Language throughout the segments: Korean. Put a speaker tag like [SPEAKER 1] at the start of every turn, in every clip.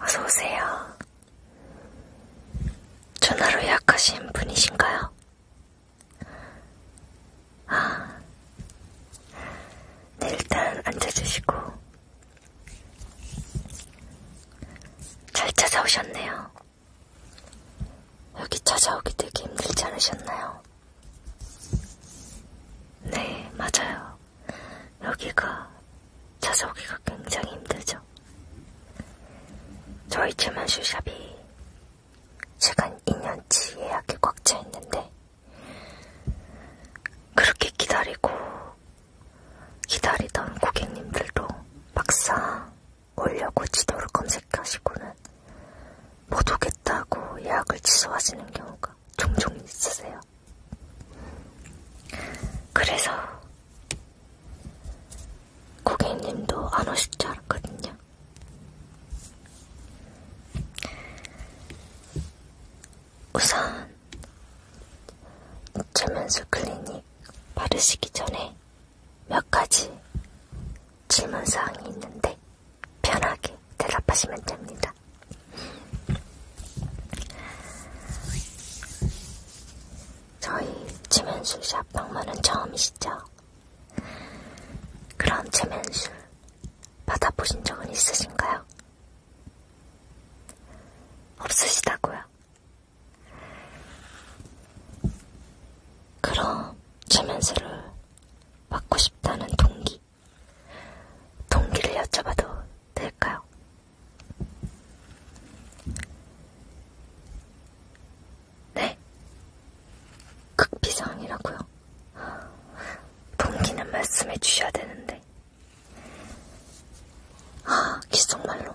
[SPEAKER 1] 어서오세요. 전화로 예약하신 분이신가요? 아, 네, 일단 앉아주시고. 잘 찾아오셨네요. 여기 찾아오기 되게 힘들지 않으셨나요? 네, 맞아요. 여기가 찾아오기가 굉장히 힘들죠. 저희 츠만 슈샵이 최근 2년치 예약이 꽉 차 있는데 그렇게 기다리고 기다리던 고객님들도 막상 오려고 지도를 검색하시고는 못 오겠다고 예약을 취소하시는 경우가 종종 있으세요. 있어요. 그래서 고객님도 안 오실 줄 알았거든요. 우선 최면수 클리닉 바르시기 전에 몇 가지 질문사항이 있는데 편하게 대답하시면 됩니다. 저희 체면술 샵방문은 처음이시죠? 그럼 체면술 받아보신 적은 있으신가요? 없으시다고요? 그럼 체면술을 받고 싶다는 동기 동기를 여쭤봐도 될까요? 네, 극비상이라고요. 동기는 말씀해 주셔야 되는데. 아, 기속말로.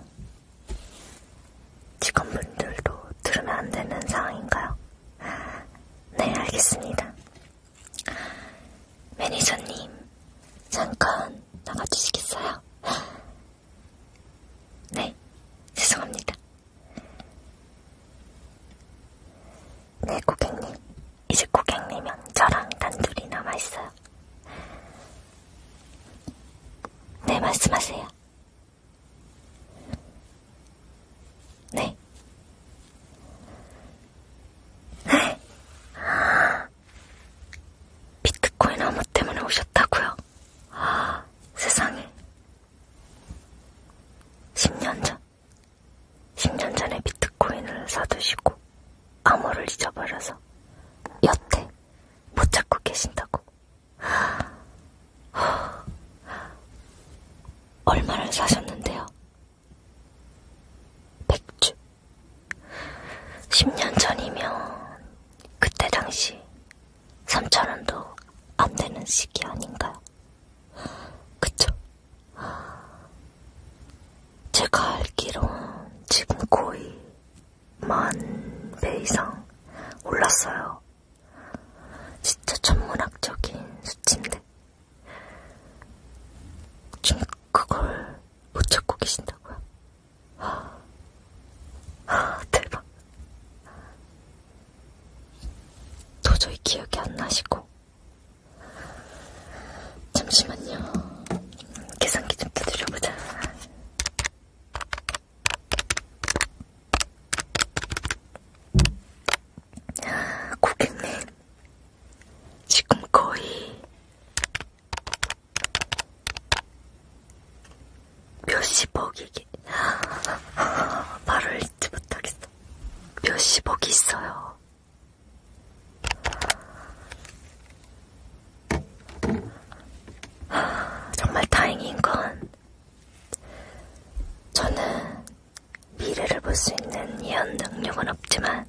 [SPEAKER 1] 직원분들도 들으면 안 되는 상황인가요? 네, 알겠습니다. 매니저님, 잠깐 나가주시겠어요? 네, 죄송합니다. 네, 고객님. 이제 고객님은 저랑 단둘이 남아있어요. 네, 말씀하세요. 네. 네. 비트코인 업무 때문에 오셨다고요? 아, 세상에. 10년 전. 10년 전에 비트코인을 사두시고 암호를 잊어버려서 여태 못 찾고 계신다고. 얼마를 사셨는데요? 백주. 10년 전이면 그때 당시 3천원도 안 되는 시기 아닌가요? 그쵸? 제가 알기론 지금 거의 만 배 이상 올랐어요. 진짜 천문학적인 수치인데. 제 그걸 못 찾고 계신다고요? 아, 대박. 도저히 기억이 안 나시고. 잠시만요. 계산기 좀 두드려보자. 아, 고객님, 지금 거의 몇십억이게 말을 잊지 못하겠어. 몇십억이 있어요. 정말 다행인 건 저는 미래를 볼 수 있는 예언 능력은 없지만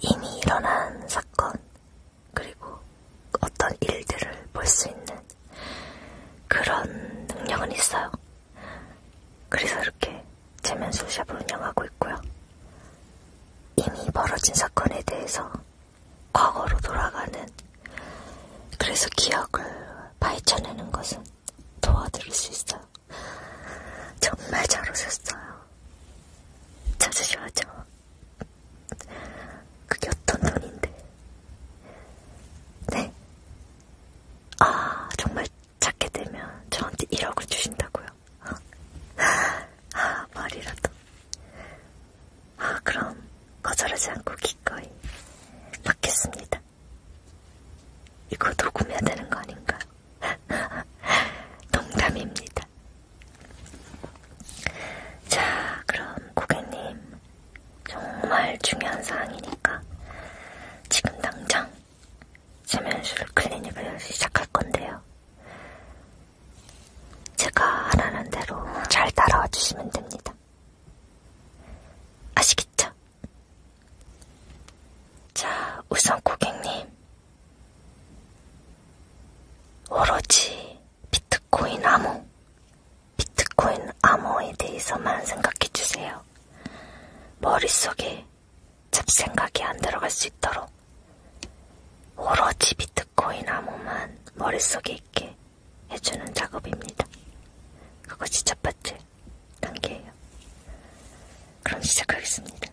[SPEAKER 1] 이미 일어난 사건 그리고 어떤 일들을 볼 수 있는 그런 능력은 있어요. 그래서 이렇게 재면술샵을 운영하고 있고요. 이미 벌어진 사건에 대해서 과거로 돌아가는 그래서 기억을 파헤쳐내는 것은 도와드릴 수 있어요. 정말 잘 오셨어요. 찾으셔야죠. 그게 어떤 돈인데. 네? 아, 정말 찾게 되면 저한테 1억을 주신다고요? 아, 말이라도. 아, 그럼 거절하지 않고 기꺼이 받겠습니다. 이거 녹음해야 되는 거 아닌가? 농담입니다. 자, 그럼 고객님, 정말 중요한 사항이니까 지금 당장 세면술 클리닉을 시작할 건데요. 제가 하라는 대로 잘 따라와 주시면 됩니다. 아시겠죠? 자, 우선 고객님. 오로지 비트코인 암호, 비트코인 암호에 대해서만 생각해주세요. 머릿속에 잡생각이 안 들어갈 수 있도록 오로지 비트코인 암호만 머릿속에 있게 해주는 작업입니다. 그거 진짜 봤지? 단계예요. 그럼 시작하겠습니다.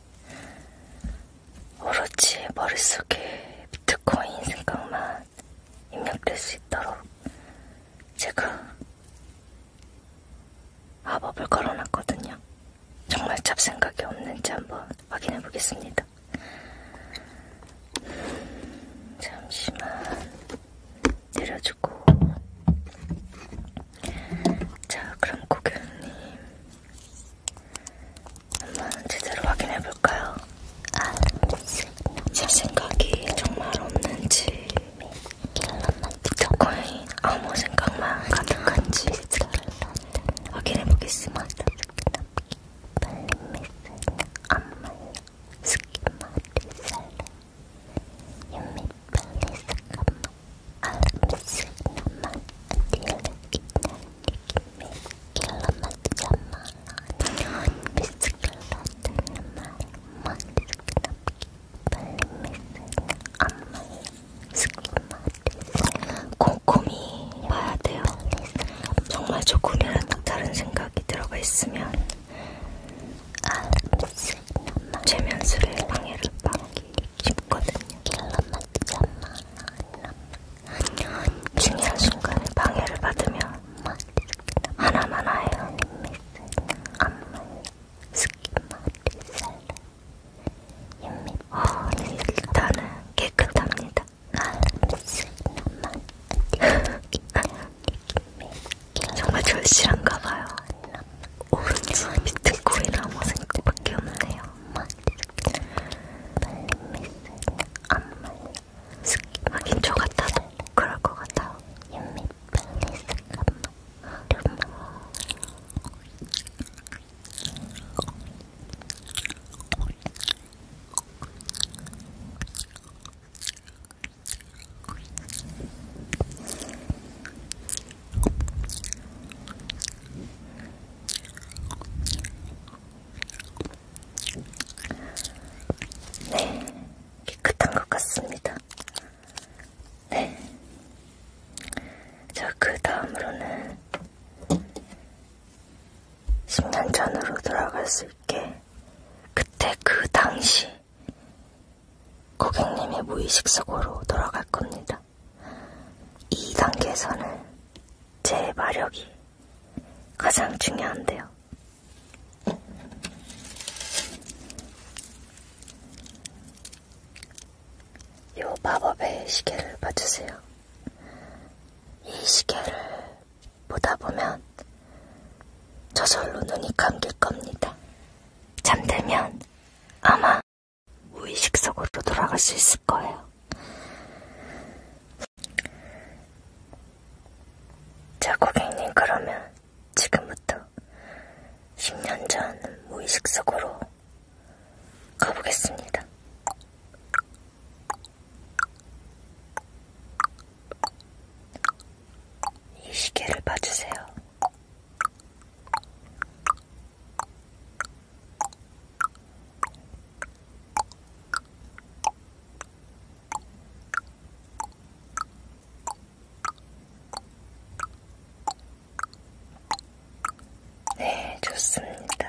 [SPEAKER 1] 오로지 머릿속에 비트코인 생각만 입력될 수 있도록 제가 마법을 걸어놨거든요. 정말 잡생각이 없는지 한번 확인해 보겠습니다. 잠시만 내려주고 자, 그럼 고객님 한번 제대로 확인해 볼까요? 아, 제 생각이 정말 없는지, 비트코인 아무 생각만 가득한지 확인해 보겠습니다. 스키마리 살라 유미 빨리 잠깐만 알람스 나만 안디를 있는 느낌이 길러맞지 말라 넌 미스클러드는 말에 머리스크 빨리 미스는 안마에 스키마디스 꼼꼼히 봐야 돼요 정말 조금이라도 다른 생각이 들어가 있으면 알람스 나만 최면술에 방해를 받기 깊거든요. 결론 맞지 않나? 중요한 순간에 방해를 받으면 하나만 아이언 안만 스키마티 살라 어, 일단은 깨끗합니다. 정말 절실한가봐요. 오른쪽 밑에 고이랑 모생때밖에 뭐 없네요. 막 이렇게 말린 미스는 안 말려. 하긴 저 같아도 그럴 것 같아요. 유미 빨리 잠깐만. 좀만. 네, 깨끗한 것 같습니다. 네. 저 그 다음으로는 10년 전으로 돌아갈 수 있게 그때 그 당시 고객님의 무의식 속으로 돌아갈 겁니다. 이 단계에서는 제 마력이 가장 중요한데요. 요 마법의 시계를 봐주세요. 이 시계를 보다 보면 저절로 눈이 감길 겁니다. 잠들면 아마 무의식 속으로 돌아갈 수 있을 거예요. 자, 고객님, 그러면 지금부터 10년 전 무의식 속으로 가보겠습니다. 이 시계를 봐주세요. 네, 좋습니다.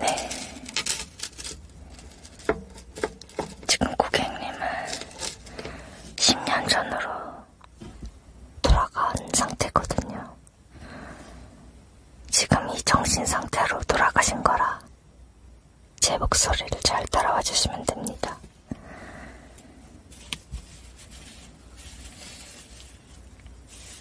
[SPEAKER 1] 네. 지금 고객님은 10년 전으로 돌아간 상태거든요. 지금 이 정신 상태로 돌아가신 거라 제 목소리를 잘 따라와 주시면 됩니다.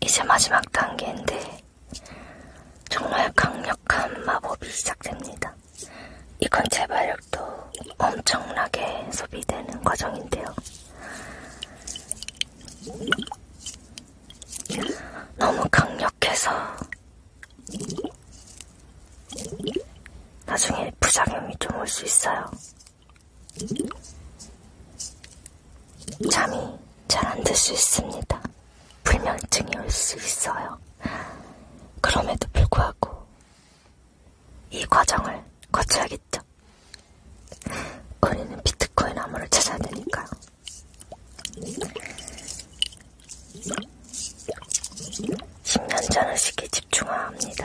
[SPEAKER 1] 이제 마지막 단계인데 정말 강력한 마법이 시작됩니다. 이건 제 발력도 엄청나게 소비되는 과정인데요. 너무 강력해서 나중에 부작용이 좀 올 수 있어요. 잠이 잘 안들 수 있습니다. 불면증이 올 수 있어요. 그럼에도 불구하고 이 과정을 거쳐야겠죠. 우리는 비트코인 암호를 찾아야 되니까요. 십년 전의 시기 집중화합니다.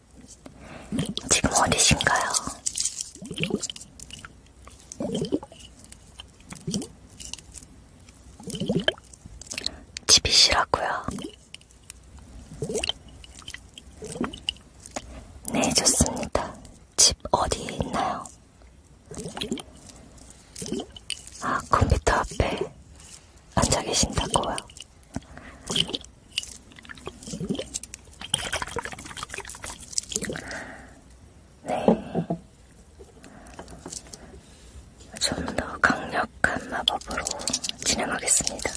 [SPEAKER 1] 지금 어디신가요? 집이시라고요? 네, 좋습니다. 집 어디에 있나요? 아, 컴퓨터 앞에 앉아 계신다고요? 네. 좀 더 강력한 마법으로 진행하겠습니다.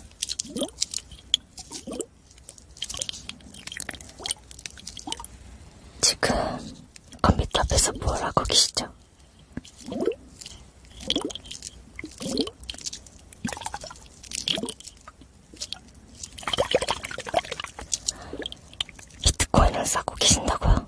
[SPEAKER 1] 지금 컴퓨터 앞에서 뭘 하고 계시죠? 비트코인을 사고 계신다고요?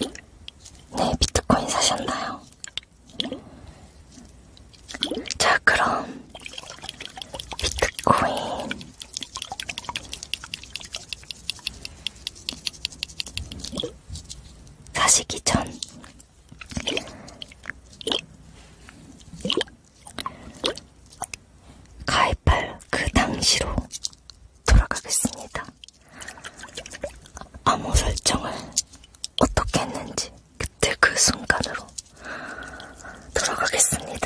[SPEAKER 1] 네, 비트코인 사셨나요? 자, 그럼 비트코인 사시기 전 가입할 그 당시로 돌아가겠습니다. 아무 설정을 어떻게 했는지 그때 그 순간으로 돌아가겠습니다.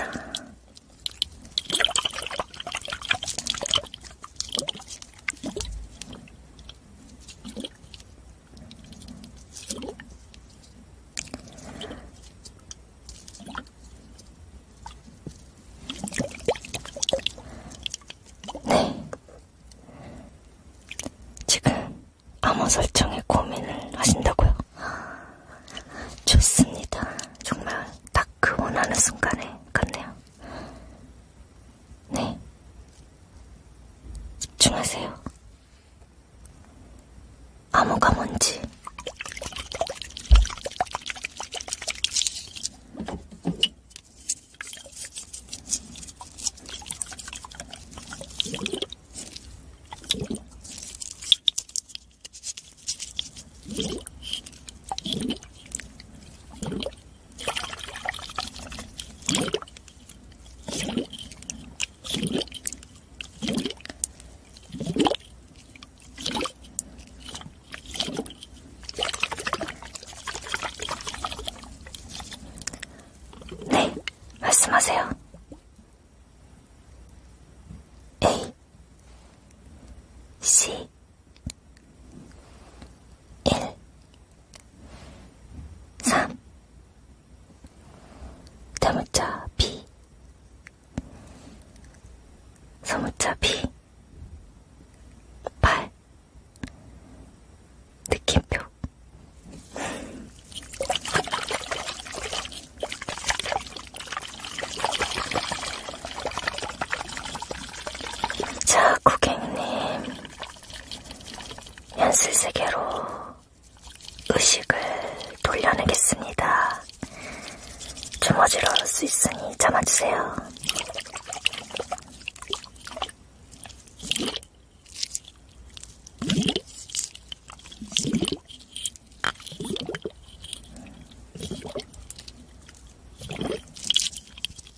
[SPEAKER 1] 네. 지금 암호 설정에 고민을 하신다고요? 좋습니다. 정말 딱 그 원하는 순간에 갔네요. 네. 집중하세요. 암호가 뭔지. 네, 말씀하세요. A, 네. C, 일, 삼, 대문자 B, 소문자 B, 팔, 느낌표. 자, 고객님. 연스세계로 의식을 돌려내겠습니다. 주머지로 할수 있으니 참아주세요.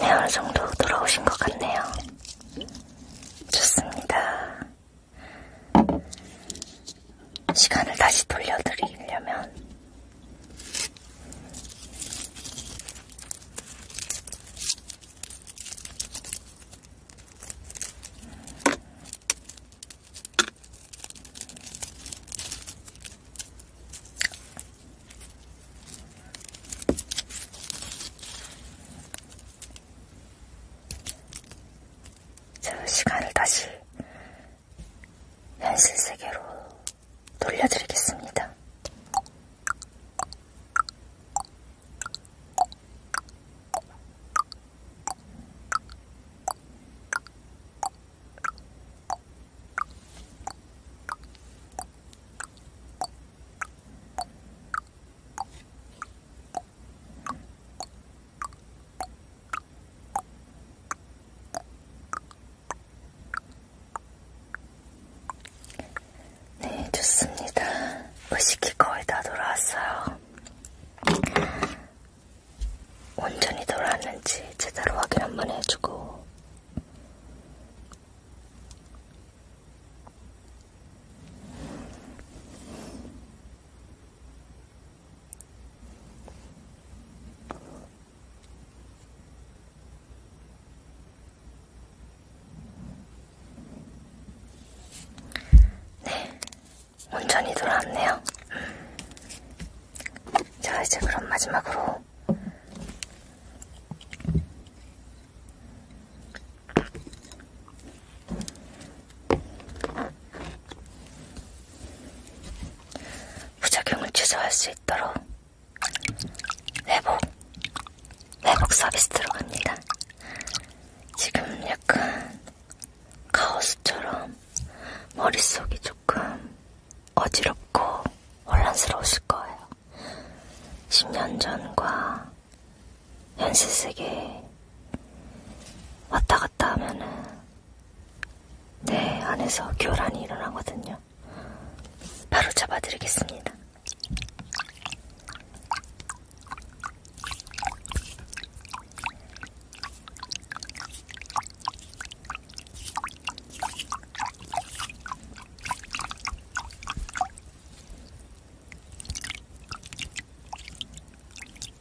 [SPEAKER 1] 내화성도 네, 돌아오신 것 같네요. 좋습니다. 시간을 다시 돌려드리려면 저 시간을 다시 현실 세계로 돌려드리겠습니다. 네, 좋습니다. 의식이 거의 다 돌아왔어요. 온전히 돌아왔는지 제대로 확인 한번 해주고. 네, 온전히 돌아왔네요. 음. 자, 이제 그럼 마지막으로 부작용을 최소화할 수 있도록 회복, 회복 서비스 들어갑니다. 지금 약간 카오스처럼 머릿속이 조금 어지럽고 혼란스러우실 거예요. 10년 전과 현실 세계 왔다 갔다 하면은 네, 안에서 교란이 일어나거든요. 바로 잡아드리겠습니다.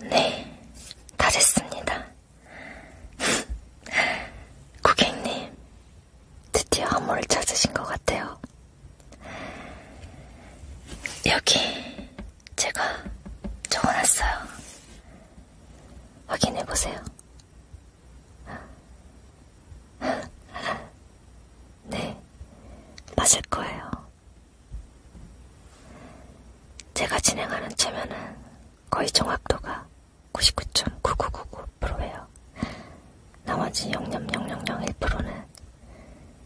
[SPEAKER 1] 네, 다 됐습니다. 고객님, 드디어 암호를 찾으신 것 같아요. 여기 제가 적어놨어요. 확인해보세요. 네, 맞을 거예요. 제가 진행하는 최면은 거의 정확도가 99.9999%예요. 나머지 0.0001%는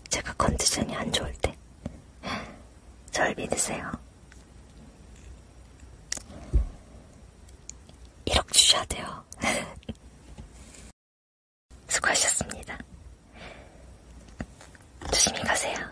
[SPEAKER 1] 제가 컨디션이 안 좋을 때절 믿으세요. 1억 주셔야 돼요. 수고하셨습니다. 조심히 가세요.